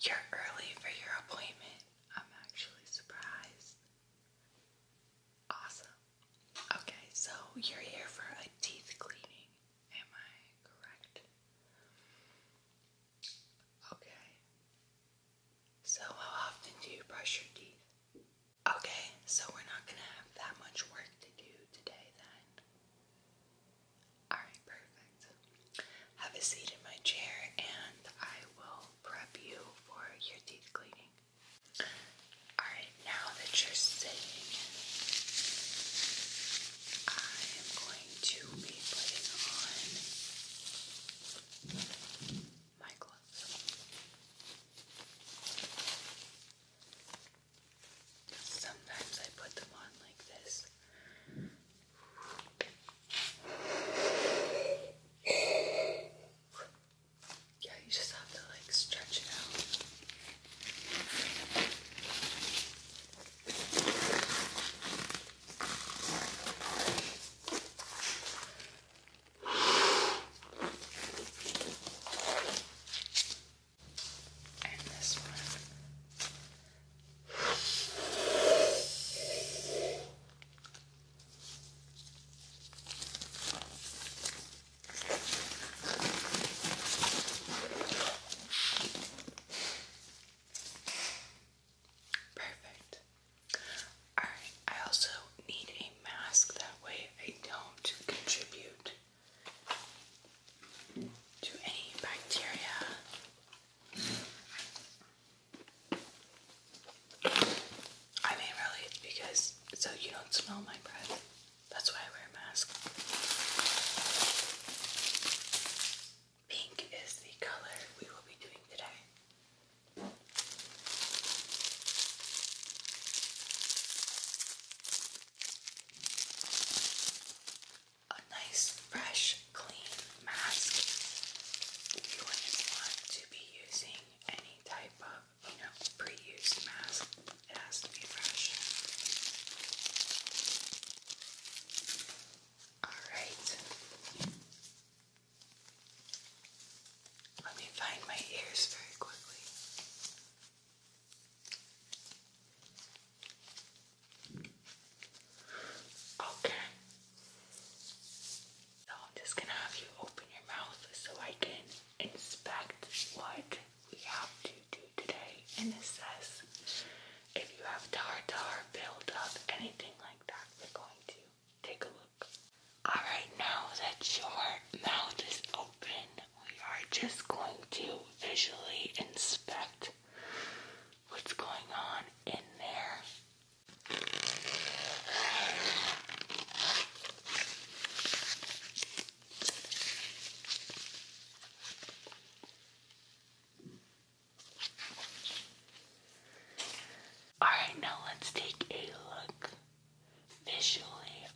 You're early for your appointment. I'm actually surprised. Awesome. Okay, so you're here for a teeth cleaning. Am I correct? Okay. So, how often do you brush your teeth? Okay, so we're not gonna have that much work to do today then. Alright, perfect. Have a seat in my chair and I will prep you for your teeth cleaning. Alright, now that you're sitting, I am going to be putting on my gloves. Sometimes I put them on like this. Yeah, you just have to like stretch it out. And this one. Perfect. Alright, I also need a mask that way I don't contribute to any bacteria I mean, really, because so you don't smell my breath. That's why I wear a mask. Pink is the color we will be doing today a nice, fresh, clean mask. You wouldn't want to be using any type of, you know, pre mask. It has to be fresh. Alright. Let me find my ears very quickly. Okay. So I'm just gonna have you open your mouth so I can inspect what we have to do today and assess if you have tartar, buildup, anything like that. We're going to take a look. Alright, now that your mouth is open, we are just going to visually inspect what's going on in there. Alright, now let's take a look. Visually,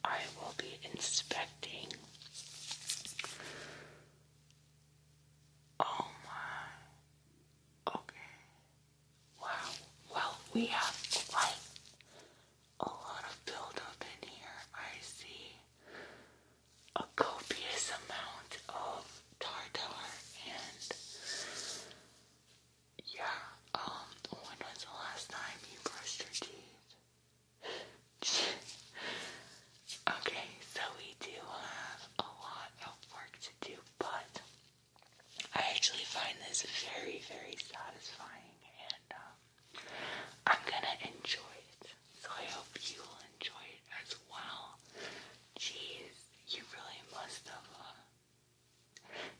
I will be inspecting Oh my. Okay. Wow. Well, we have quite a lot of buildup in here. I see a copious amount of tartar and yeah. Um. When was the last time you brushed your teeth? Okay, so we do have a lot of work to do, but I actually find this very, very satisfying, and um, I'm gonna enjoy it. So I hope you will enjoy it as well. Jeez, you really must have. Uh,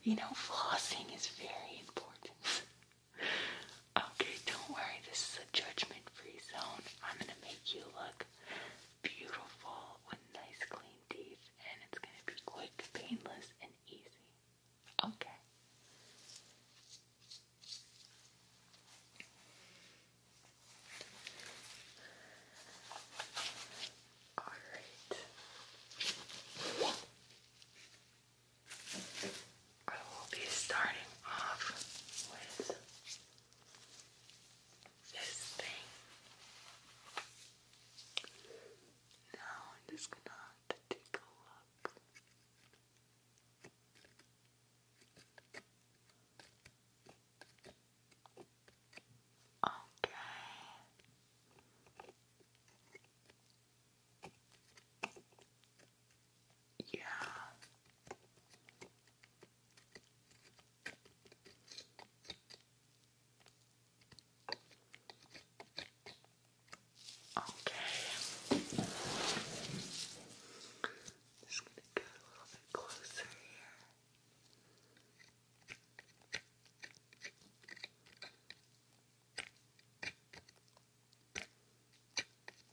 you know, flossing is very important. okay, don't worry. This is a judgment-free zone. I'm gonna make you look beautiful with nice clean teeth, and it's gonna be quick, painless, and easy. Okay. All right. I will be starting off with this thing. Now I'm just gonna have to take a look. Okay. Yeah. Okay. Just gonna go a little bit closer here.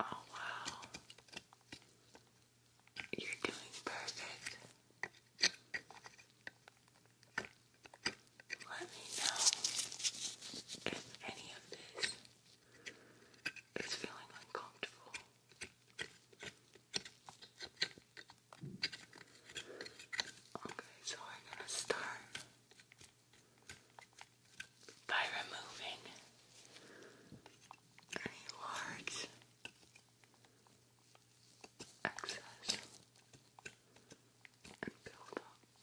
Oh, wow. You're doing perfect. Let me know if any of this is feeling uncomfortable. Okay, so I'm gonna start by removing any large excess and build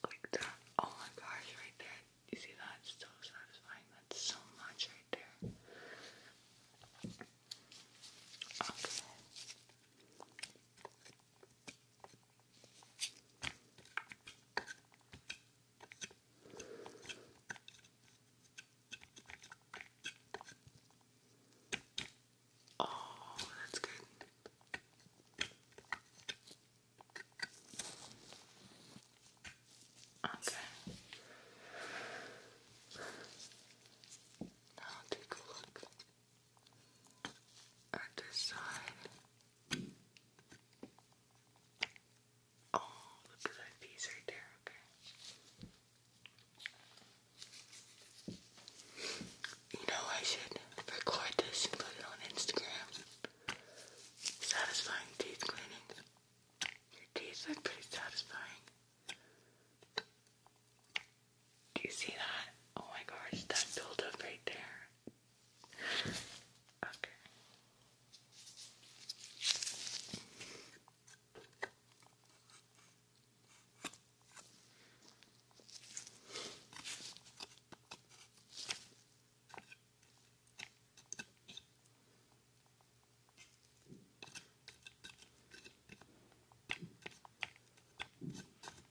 like that. Oh my gosh, right there. You see that? so satisfying. That's so much right there. Okay. Oh, that's good. Okay. Now take a look and this side. Oh, look at that piece right there, okay. You know, I should record this and put it on Instagram. Satisfying teeth cleaning. Your teeth look pretty satisfying. Do you see that? Oh my gosh, that build right there. Okay.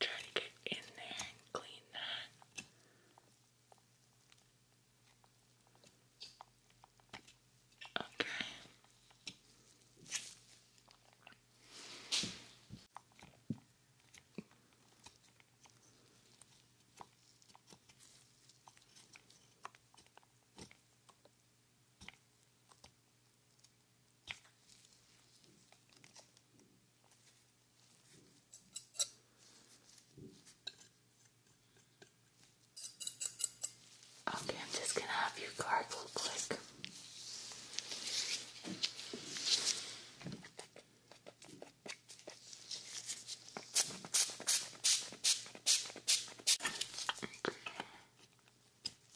Try to get in there and clean that. Okay. Okay, I'm just gonna have you gargle quick.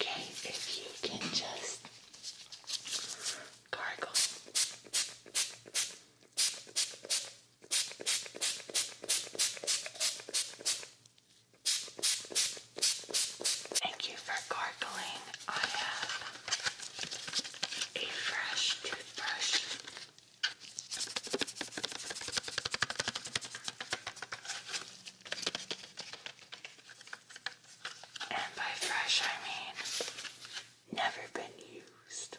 Okay, if you can just gargle. Thank you for gargling. I have a fresh toothbrush. And by fresh, I mean never been used.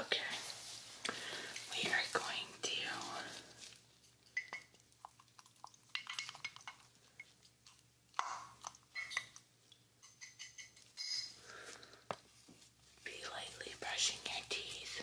Okay, we are going to be lightly brushing your teeth.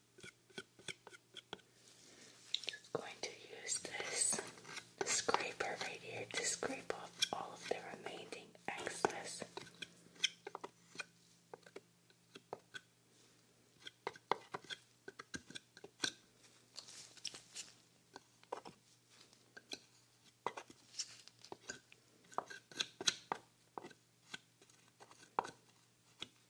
Just going to use this scraper right here to scrape off all of the remaining excess.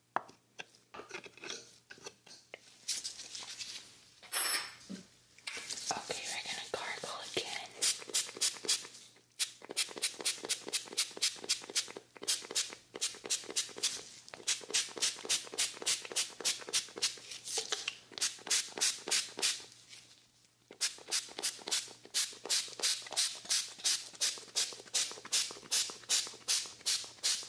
Okay, we're gonna gargle again. Okay,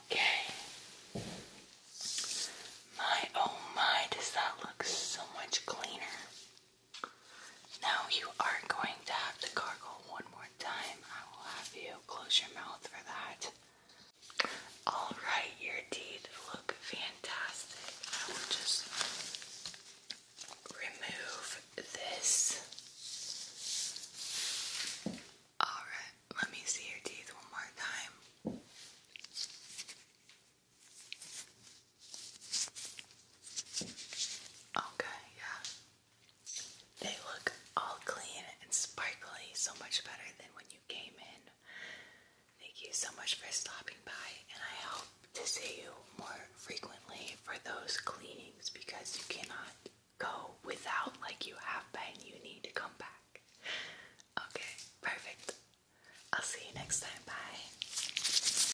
Okay. My oh my, does that look so much cleaner? Now you are going to have to gargle one more time. I will have you close your mouth for that. Alright, your teeth look fantastic. I will just remove this. Alright, let me see your teeth one more time. Okay, yeah. They look all clean and sparkly, so much better than when you came in. Thank you so much for stopping by, and I hope to see you more frequently for those cleanings because you cannot go without like you have been. You need to come back. Okay, perfect. I'll see you next time. Bye.